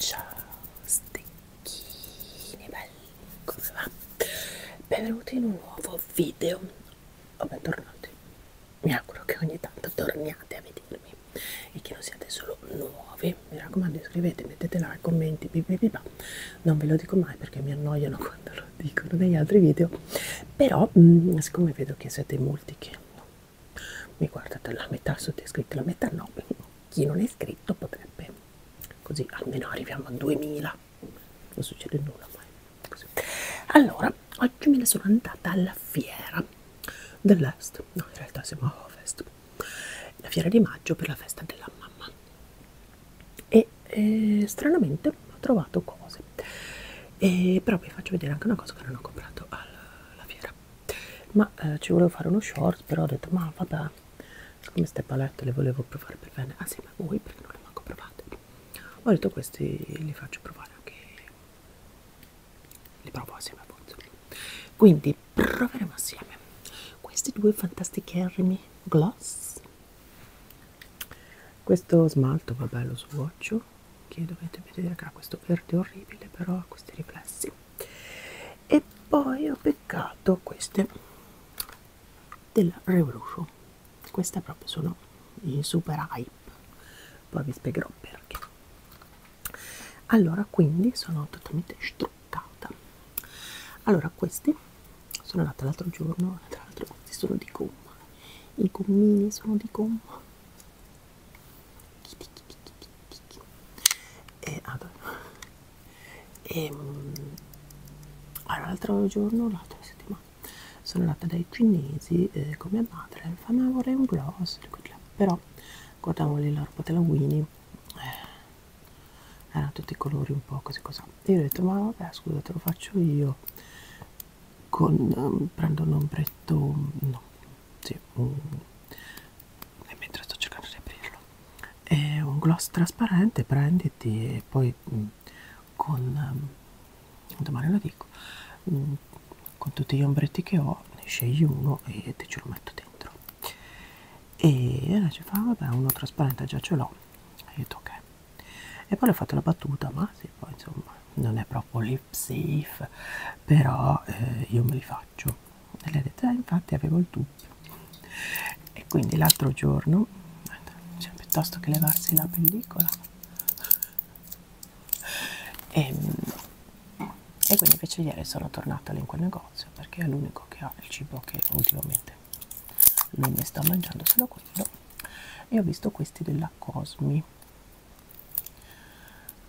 Ciao stecchini belli, come va? Benvenuti in un nuovo video o bentornati. Mi auguro che ogni tanto torniate a vedere dirmi e che non siate solo nuovi mi raccomando iscrivete mettete like commenti pipipipa non ve lo dico mai perché mi annoiano quando lo dicono negli altri video però mh, mm, siccome vedo che siete molti che no, mi guardate la metà siete iscritti la metà no chi non è iscritto potrebbe così almeno arriviamo a 2000 non succede nulla mai così. allora oggi me ne sono andata alla fiera dell'est no in realtà siamo a ovest la fiera di maggio per la festa della mamma e eh, stranamente ho trovato cose e, però vi faccio vedere anche una cosa che non ho comprato alla fiera ma eh, ci volevo fare uno short però ho detto ma vabbè come ste palette le volevo provare per bene ah sì ma voi perché non le manco provate ho detto questi li faccio provare anche li provo assieme a Bozzolo. Quindi proveremo assieme questi due fantasticherrimi gloss. Questo smalto, vabbè, lo swatcho, che dovete vedere che ha questo verde orribile, però ha questi riflessi. E poi ho beccato queste della Revolution. Queste proprio sono in super hype. Poi vi spiegherò perché allora quindi sono totalmente struccata allora questi sono andata l'altro giorno tra l'altro questi sono di gomma i gommini sono di gomma e, e ehm, allora l'altro giorno l'altra settimana sono andata dai cinesi eh, come madre e mi vorrei un gloss però guardavo lì l'orbo della Winnie eh, erano tutti i colori un po' così così io ho detto ma vabbè scusa te lo faccio io con um, prendo un ombretto no sì, un, e mentre sto cercando di aprirlo è un gloss trasparente prenditi e poi mh, mm, con um, domani lo dico mh, mm, con tutti gli ombretti che ho ne scegli uno e te ce lo metto dentro e allora ci fa vabbè uno trasparente già ce l'ho e io detto ok e poi le ho fatto la battuta ma sì poi insomma non è proprio lip safe però eh, io me li faccio e lei ha detto eh, infatti avevo il dubbio e quindi l'altro giorno cioè, piuttosto che levarsi la pellicola e, ehm, e quindi invece ieri sono tornata lì in quel negozio perché è l'unico che ha il cibo che ultimamente non mi sta mangiando solo quello e ho visto questi della Cosmi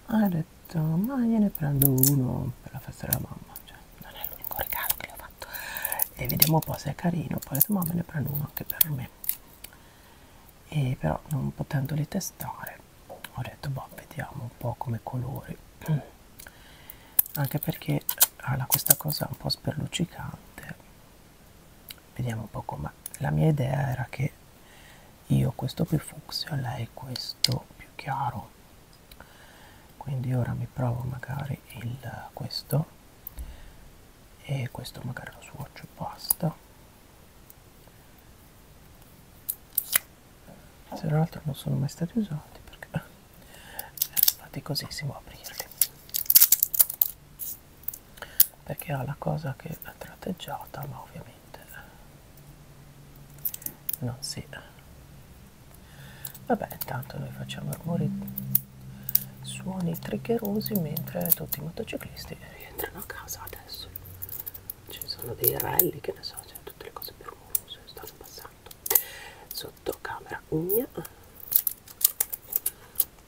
ha detto ma gliene prendo uno per la festa della mamma cioè, non è l'unico regalo che le ho fatto e vediamo un po' se è carino poi ho detto ma me ne prendo uno anche per me e però non potendoli testare ho detto boh vediamo un po' come colori anche perché ha questa cosa un po' sperluccicante vediamo un po' com'è la mia idea era che io questo più fucsia lei questo più chiaro quindi ora mi provo magari il questo e questo magari lo swatch e basta se tra l'altro non sono mai stati usati perché faticosissimo aprirli perché ha la cosa che è tratteggiata ma ovviamente non si vabbè intanto noi facciamo rumori suoni triggerosi mentre tutti i motociclisti rientrano a casa adesso ci sono dei rally che ne so cioè tutte le cose permuse stanno passando sotto camera gna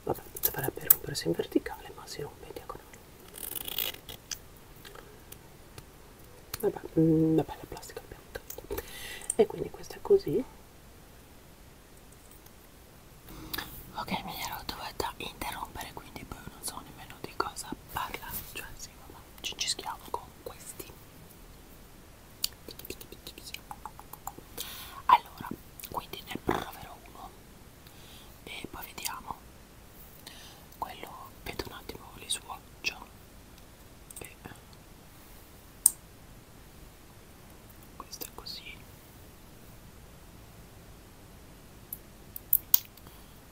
vabbè dovrebbe rompersi in verticale ma si rompe in diagonale vabbè, mh, mm, vabbè la plastica abbiamo tanto e quindi questa è così ok mi ero dovuta interrompere quindi poi non so nemmeno di cosa parla cioè sì vabbè ci incischiamo con questi allora quindi ne proverò uno e poi vediamo quello vedo un attimo li swatcho e questo è così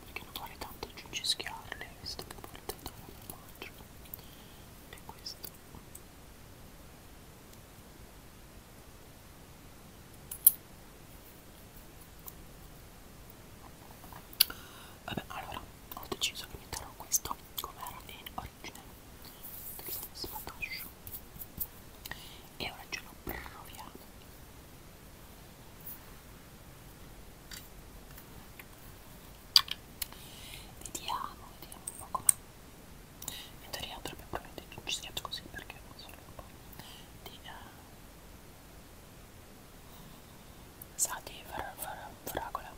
perché non vuole tanto ciuccischiarle visto che vuole tanto non mangio e questo vabbè allora ho deciso che metterò questo come era in origine del sfatascio e ora ce lo proviamo Vediamo, vediamo un po' com'è. Mentre rientro più probabilmente non ci schiaccio così perché non sono un po' di... Uh, sa di far, far, fragola,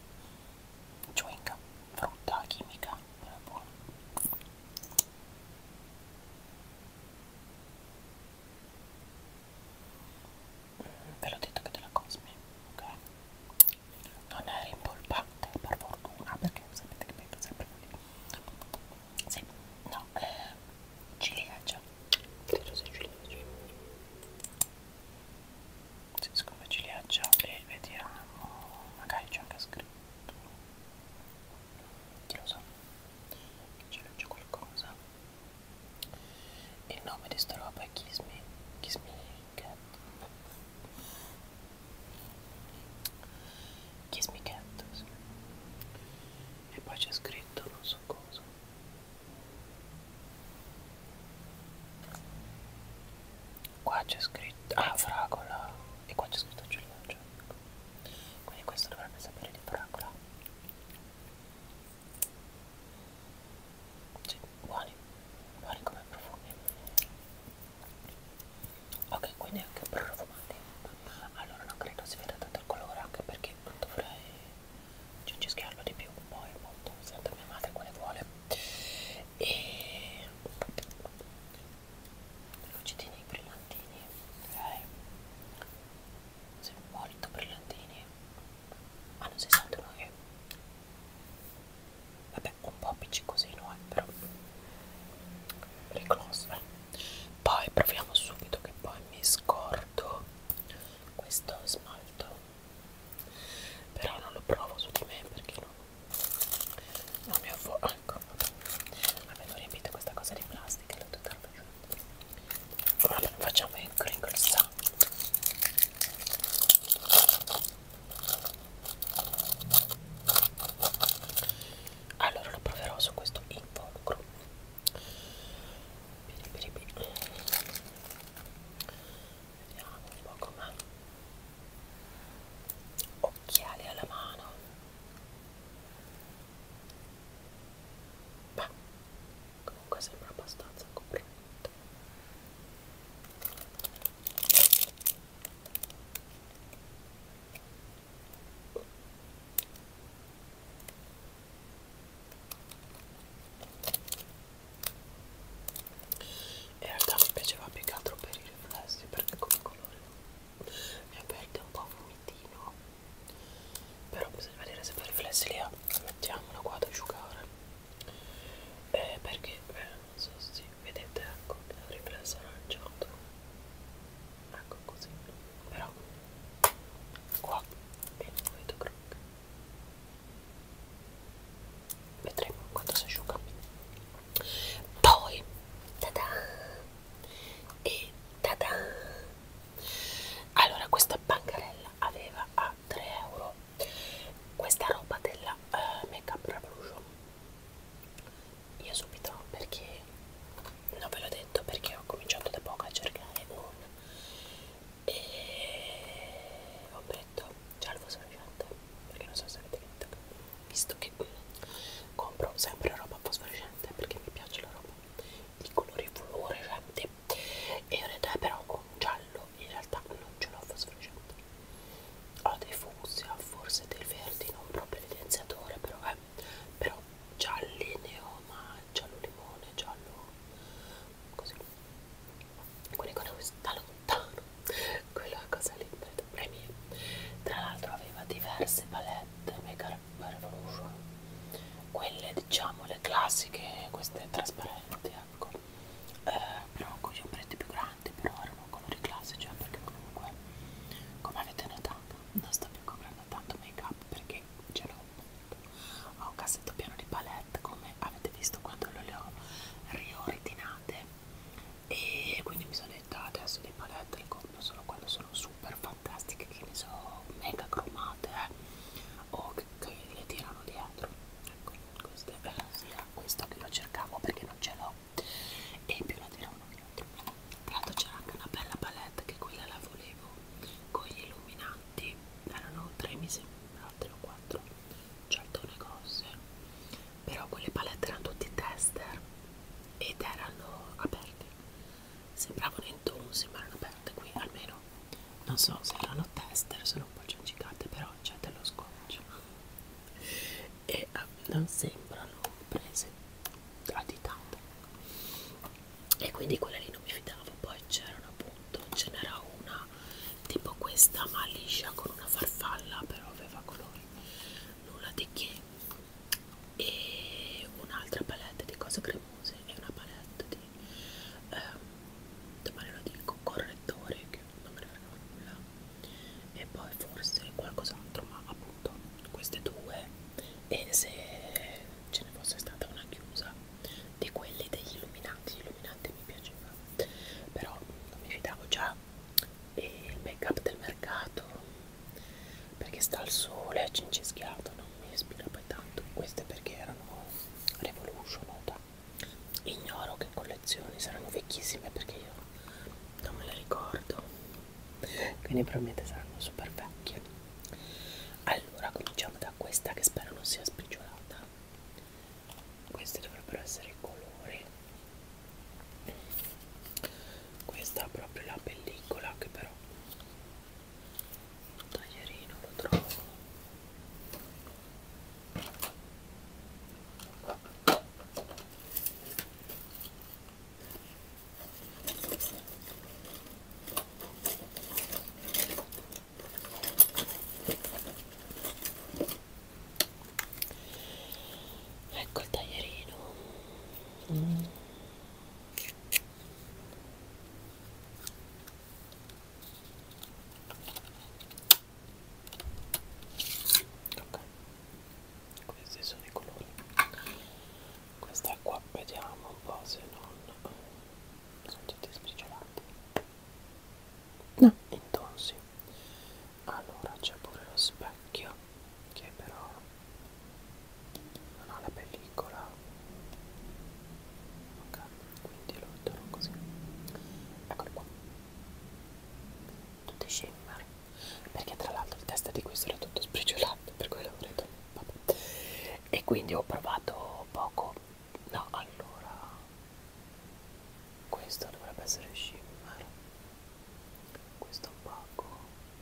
chewing frutta chimica, però buona ve l'ho detto che della Cosme ok non è rimpolpante per fortuna perché sapete che metto sempre lì sì no eh, ciliegia credo sia ciliegia se siccome ciliegia e vediamo magari c'è anche scritto chi lo sa so. c'è qualcosa il nome di sta roba è Kiss Me, Kiss Me Cat. Kiss Me Cat. Sì. E poi c'è scritto non so cosa. Qua c'è scritto... Ah, fragola. E qua c'è scritto Giulia Quindi questo dovrebbe sapere di fragola. Sì, buoni, buoni come profumi. Ok, quindi anche profumati. Allora non credo si veda tanto il colore, anche perché non dovrei cincischiarlo di più, poi appunto senta mia madre quale vuole. E lucidini brillantini, ok? Sono molto brillantini. Hanno 69. Vabbè, un po' appiccicosino, eh, però. Reclose. Poi proviamo subito che poi mi scordo questo smalto. Però non lo provo su di me perché non, non mi ho ecco, vabbè. Vabbè, non riempite questa cosa di plastica, l'ho tutta roba allora, facciamo il crinkle sound allora lo proverò su questo involucro vediamo un po' com'è occhiali alla mano Beh, comunque sembra abbastanza complimento in realtà mi piaceva più che altro per i riflessi perché come colore mi ha aperto un po' vomitino però bisogna vedere se poi riflessi li ha ah, mettiamola qua ad asciugare eh, perché eh, non so se sì, vedete ecco il riflesso aranciato ecco così però qua vedo vedo croc vedremo quando si asciuga poi tada e tada allora questa bancarella aveva a 3 euro questa roba della uh, eh, Make Up Revolution io subito perché non ve l'ho detto perché ho cominciato da poco a cercare un e ho detto già lo posso perché non so se avete detto visto che mm, compro sempre roba fosforescente perché mi piace la roba di colori fluorescenti e io ne dai eh, però un giallo in realtà non ce l'ho fosforescente ho dei fucsia forse dei verdi non proprio evidenziatore però eh però gialli ne ho ma giallo limone giallo così quindi con da lontano quella cosa lì tra l'altro aveva diverse palette mega la, la Revolution quelle diciamo le classiche queste trasparenti ecco eh, però con gli ombretti più grandi però erano colori classici eh, perché comunque come avete notato non sto più comprando tanto make up perché ce l'ho ho un cassetto pieno di palette come avete visto quando le ho riordinate e quindi mi sono detta adesso le palette le compro solo quando sono super fantastiche che ne so mega cromate eh, o che, che le tirano dietro ecco questa è sia questa che io cercavo perché non ce l'ho e più la tirano dietro tra l'altro c'era anche una bella palette che quella la volevo con gli illuminanti erano tre mi sembra tre o quattro certone grosse però quelle palette erano tutti tester ed erano aperte Sembravano in tono, sembrano aperte qui almeno. Non so se erano tester, sono un po' cincicate, però c'è dello scotch. E uh, non sembrano prese a ditate. E quindi quella lì non mi fidavo. Poi c'erano appunto, ce n'era una tipo questa, ma liscia con una farfalla, però aveva colori. Nulla di che. E un'altra palette di cose cremose e una palette di eh, domani lo dico correttore che non me ne frega nulla e poi forse qualcos'altro ma appunto queste due e se ce ne fosse stata una chiusa di quelli degli illuminanti illuminante mi piaceva però non mi fidavo già e il make up del mercato perché sta al sole, cincischiato, no? non mi ispira poi tanto queste perché erano Revolution Oda ignoro che collezioni saranno vecchissime perché io non me le ricordo quindi probabilmente saranno super vecchie allora cominciamo da questa che spero non sia sbriciolata questi dovrebbero essere i colori questa è proprio la pellicola che però un taglierino lo trovo ecco il taglierino mm ok questi sono i colori questa qua vediamo un po' se non sono tutti sbriciolati no intonsi allora c'è pure lo specchio che però non ho la pellicola ok quindi lo torno così eccolo qua tutti shimmer perché tra l'altro il testa di questo era tutto sbriciolato per quello ho detto vabbè. e quindi ho provato poco no allora questo dovrebbe essere shimmer questo poco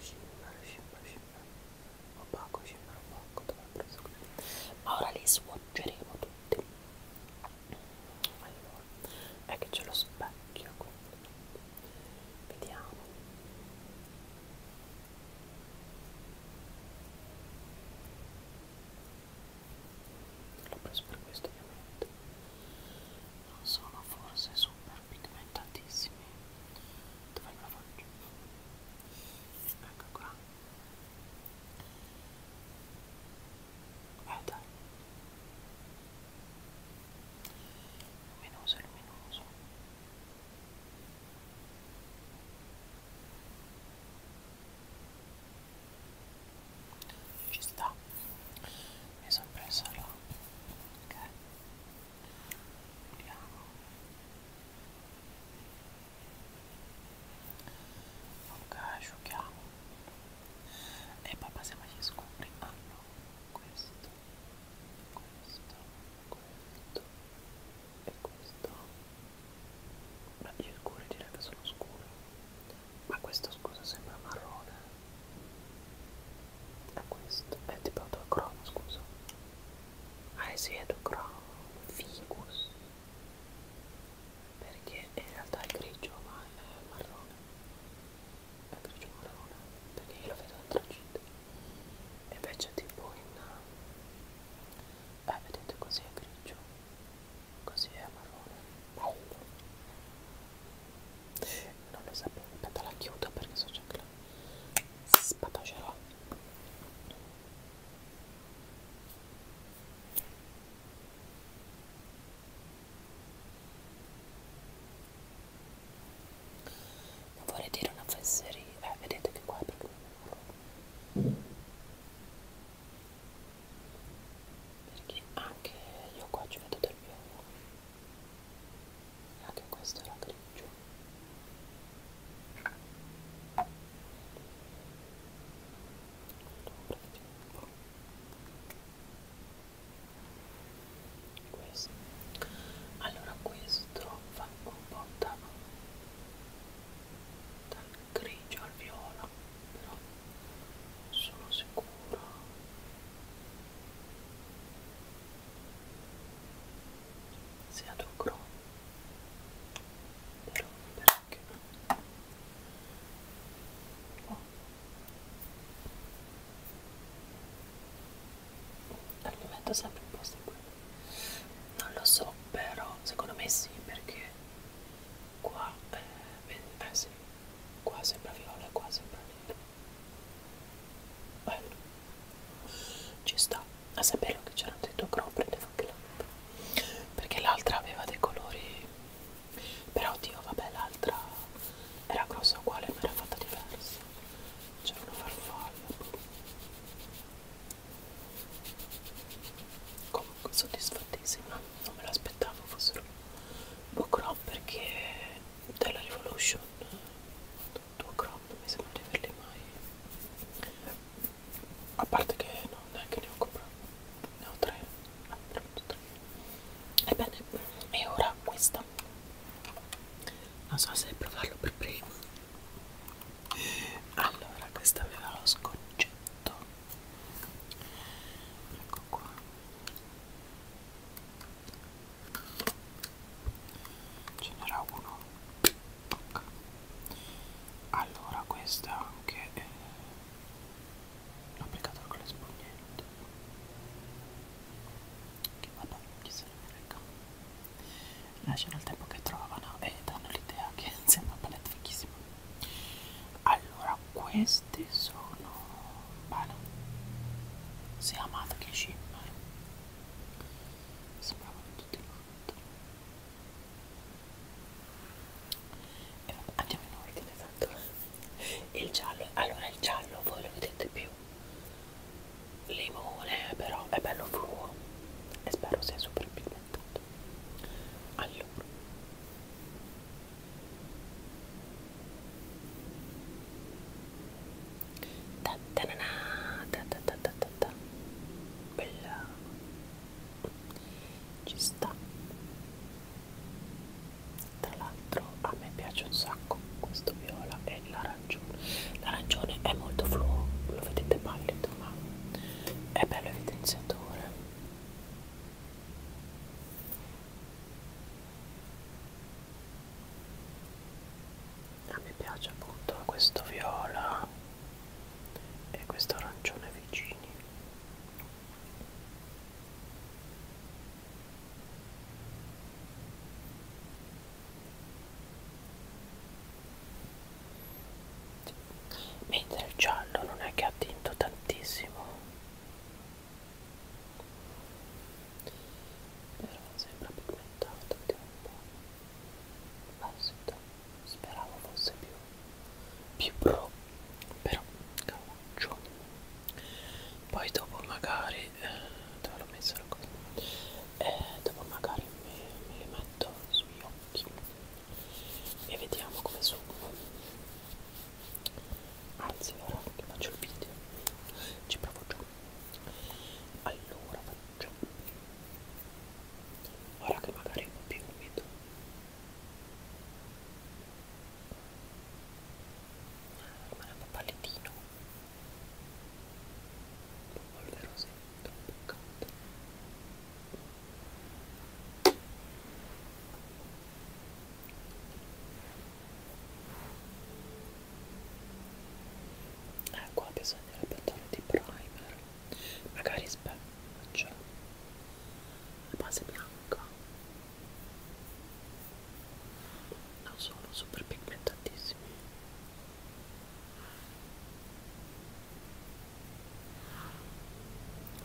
shimmer shimmer shimmer opaco sembra opaco dovrebbe essere così ma ora li swatcheremo tutti allora è che c'è lo specchio quindi vediamo l'ho preso per questo ovviamente non sono forse super pigmentatissimi dove la faccio? ecco qua guarda eh, luminoso luminoso ci sta mi sono presa là ok vediamo ok asciughiamo e eh, poi passiamo agli scuri ah no questo questo questo e questo ma gli scuri direi che sono scuri ma questo scusa sembra marrone è questo è tipo autocromo scusa Aesiedocron ah, eh ficus perché in realtà è grigio ma è marrone è grigio marrone perché io lo vedo antracite e invece tipo in eh vedete così è grigio così è marrone bello non lo sapevo aspetta la chiudo perché so già che la spatacerò non vorrei dire una fesseria, eh, vedete che qua è proprio perché anche io qua ci vedo del biondo e anche questo era grigio questo allora questo fa un po' da, dal grigio al viola però sono sicuro sia lucro per perché oh. al momento sempre un po' seguito non lo so però secondo me sì perché qua eh, beh, sì. qua sembra viola qua sembra nero bello ci sta a saperlo che c'era detto crop prendevo anche l'altra perché l'altra aveva dei colori però oddio vabbè l'altra era grossa uguale ma era fatta diversa c'era una farfalla comunque soddisfattissima non me l'aspettavo fossero book crop perché della revolution due crop mi sembra di averli mai a parte che non è che ne ho comprato ne ho tre ah, ne ho tre ebbene e ora questa non so se provarlo per prima allora questa aveva lo sconcetto ecco qua ce n'era uno tocca allora questa anche eh, l'ho applicata con le spugnette che vabbè chi se ne frega lasciano il tempo che trovano e danno l'idea che sembra una palette fichissima allora questi sono bene si è amato che shimmer sembravano tutti fatto e vabbè, andiamo in ordine tanto il giallo allora il giallo voi lo vedete più limone però è bello fluo e spero sia super pigmentato allora ta ta na na, ta ta ta ta ta ta bella ci sta tra l'altro a me piace un sacco questo viola e l'arancione l'arancione è molto fluo lo vedete pallido ma è bello evidenziatore a me piace appunto questo viola e questo arancione vicini mentre il giallo non è che ha tinto tantissimo però sembra pigmentato anche un po' L'esito speravo fosse più, più pro, però cauccio. Poi dopo magari, eh, dove l'ho messa la cosa? Eh, dopo magari me, me le metto sugli occhi e vediamo come sono. Anzi, ora che faccio il video, ci provo già. Allora, bocca cioè, ora che magari è un po' più umido ma è un po' pallettino un po' polverosetto un po' caldo eh qua bisognerebbe andare di primer magari specchio la base bianca non sono super pigmentatissimi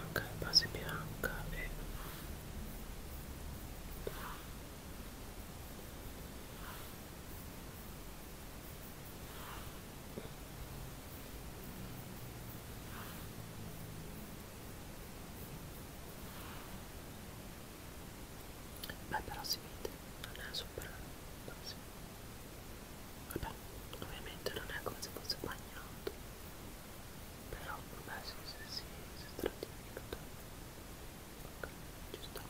ok base bianca e Beh però si vede, non è super... No, si... Vabbè, ovviamente non è come se fosse bagnato. Però, vabbè, sì, sì, sì, si stratifica ok, ci sta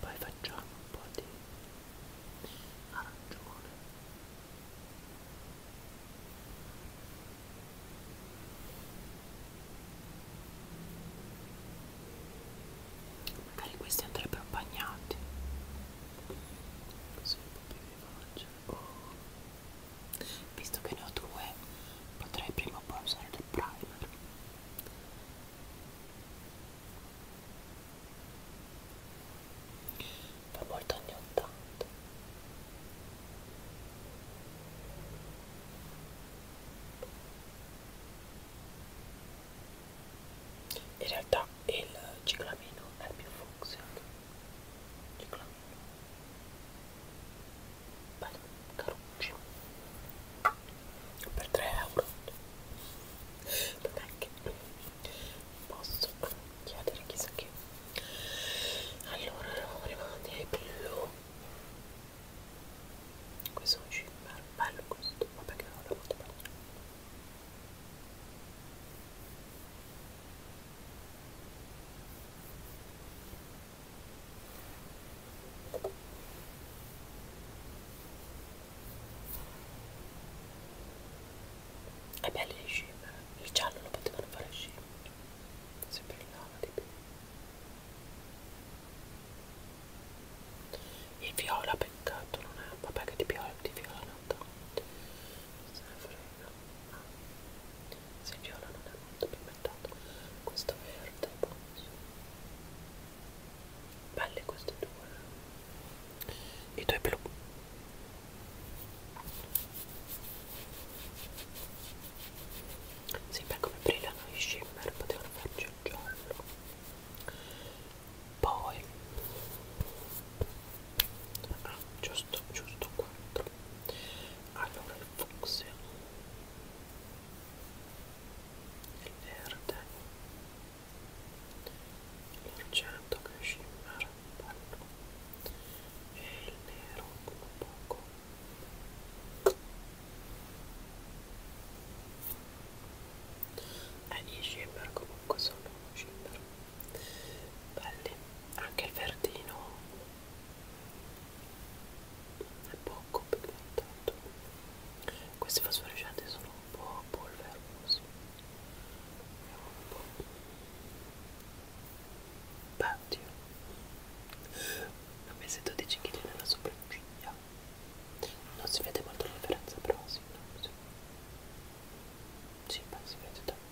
poi facciamo un po' di arancione magari questi andrebbero bagnati così faccio oh. visto che ne ho due potrei prima o poi usare del primer fa molto anni 80 in realtà il ciclamino è più funzionale ciclamino bello caro per 3 euro non è che posso chiedere chissà che allora eravamo arrivati ai blu questo è un shimmer bello questo vabbè che non l'ho fatto bene è bello gli scimmeri il giallo lo potevano fare scimmeri si brillava di più il viola peccato non è vabbè che di viola di viola non se ne frega ma ah. se il viola non è molto pigmentato questo verde è boh, buono belle queste due e due blu sembra come brillano i shimmer potevano farci il giallo poi ah, giusto giusto 4 allora il fucsia il verde, l'argento che scimmera bello e il nero un poco e eh, i shimmer comunque sono shimmer belli anche il verdino è poco pigmentato questi fosforescenti sono un po' polvere così vediamo un po' Patio ho messo 12 kg nella sopracciglia non si vede molto la differenza però sì, no, sì. sì ma si vede tanto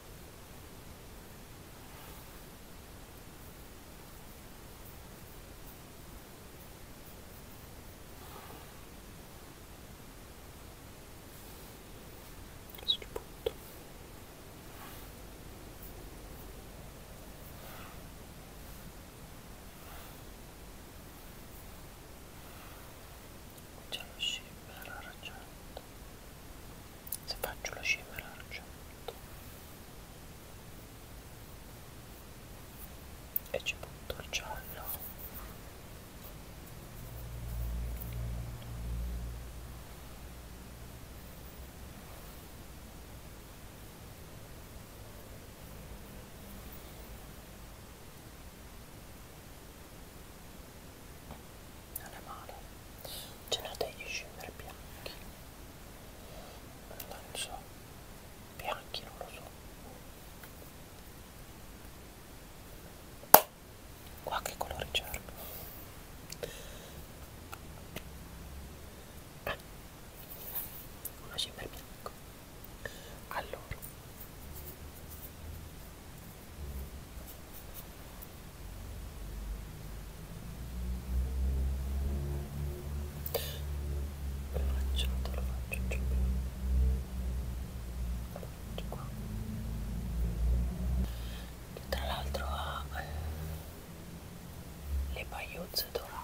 questo punto c'è lo shimmer argento se faccio lo shimmer argento e ci butto il giallo non è male ce n'ho degli shimmer bianchi non so bianchi, non lo so. Qua che colore c'erano? Eh, uno scimmer bianco. Allora lo faccio, lo faccio giù lo faccio qua che tra l'altro ha eh, le pagliuzze dorate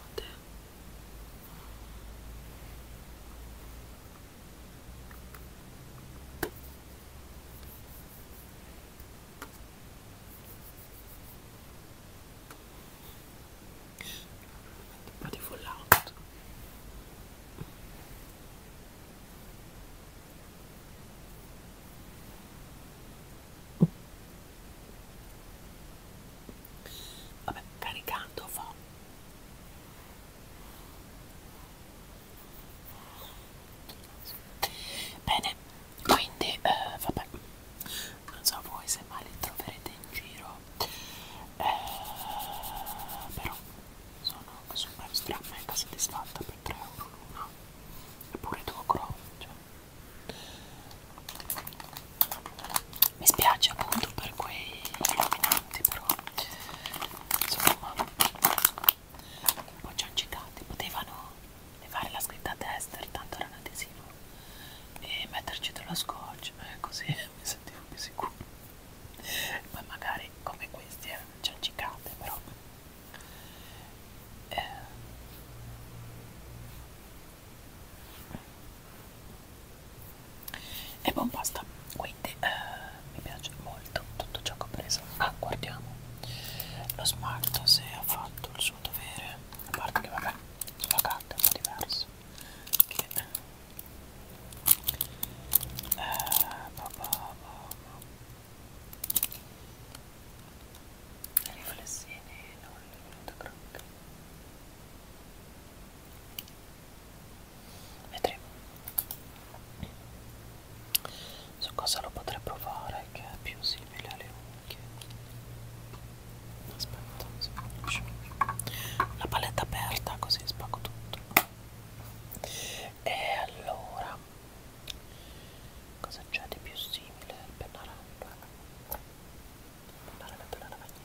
un po' di fallout vabbè caricando fa bene quindi eh, vabbè non so voi se mai li troverete in giro eh, però sono super stra mega soddisfatta per 3 euro l'una eppure devo croce cioè. mi spiace appunto per quei illuminanti però insomma un po' ciancicati potevano levare la scritta tester tanto era un adesivo e metterci dello scotch eh, così mi sentivo più sicuro ma magari come questi eh, c'è cicate però eh. e buon basta quindi eh, mi piace molto tutto ciò che ho preso ah guardiamo lo smart se ha fatto il suo dovere a parte che vabbè sulla carta è un po' diverso che eh, papà, papà. riflessini non è venuto crocca vedremo su cosa lo potrei provare che è più simile alle unghie aspetta se riesce. la paletta aperta così spacco tutto e allora cosa c'è di più simile al pennarello il pennarello per la lavagnetta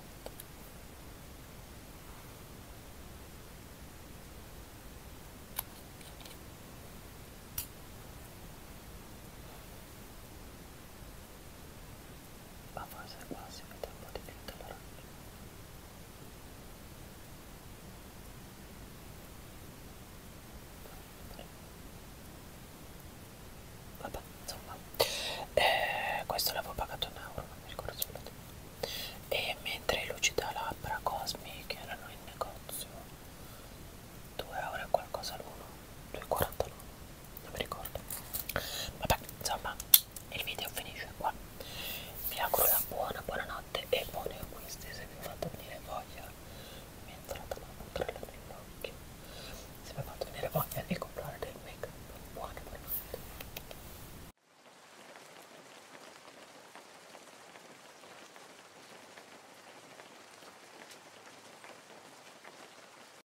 ma forse quasi mi tempo diventa l'orange vabbè insomma eh, questo l'avevo pagato un euro non mi ricordo se lo e mentre luci da labbra cosmi che erano in negozio 2 euro e qualcosa l'uno 2,49 cioè, non mi ricordo vabbè insomma il video finisce qua vi auguro una buona buonanotte e buoni acquisti se vi ho fatto venire voglia mi è entrata la controlla nell'occhio se vi ho fatto venire voglia di comprare del make up buona buonanotte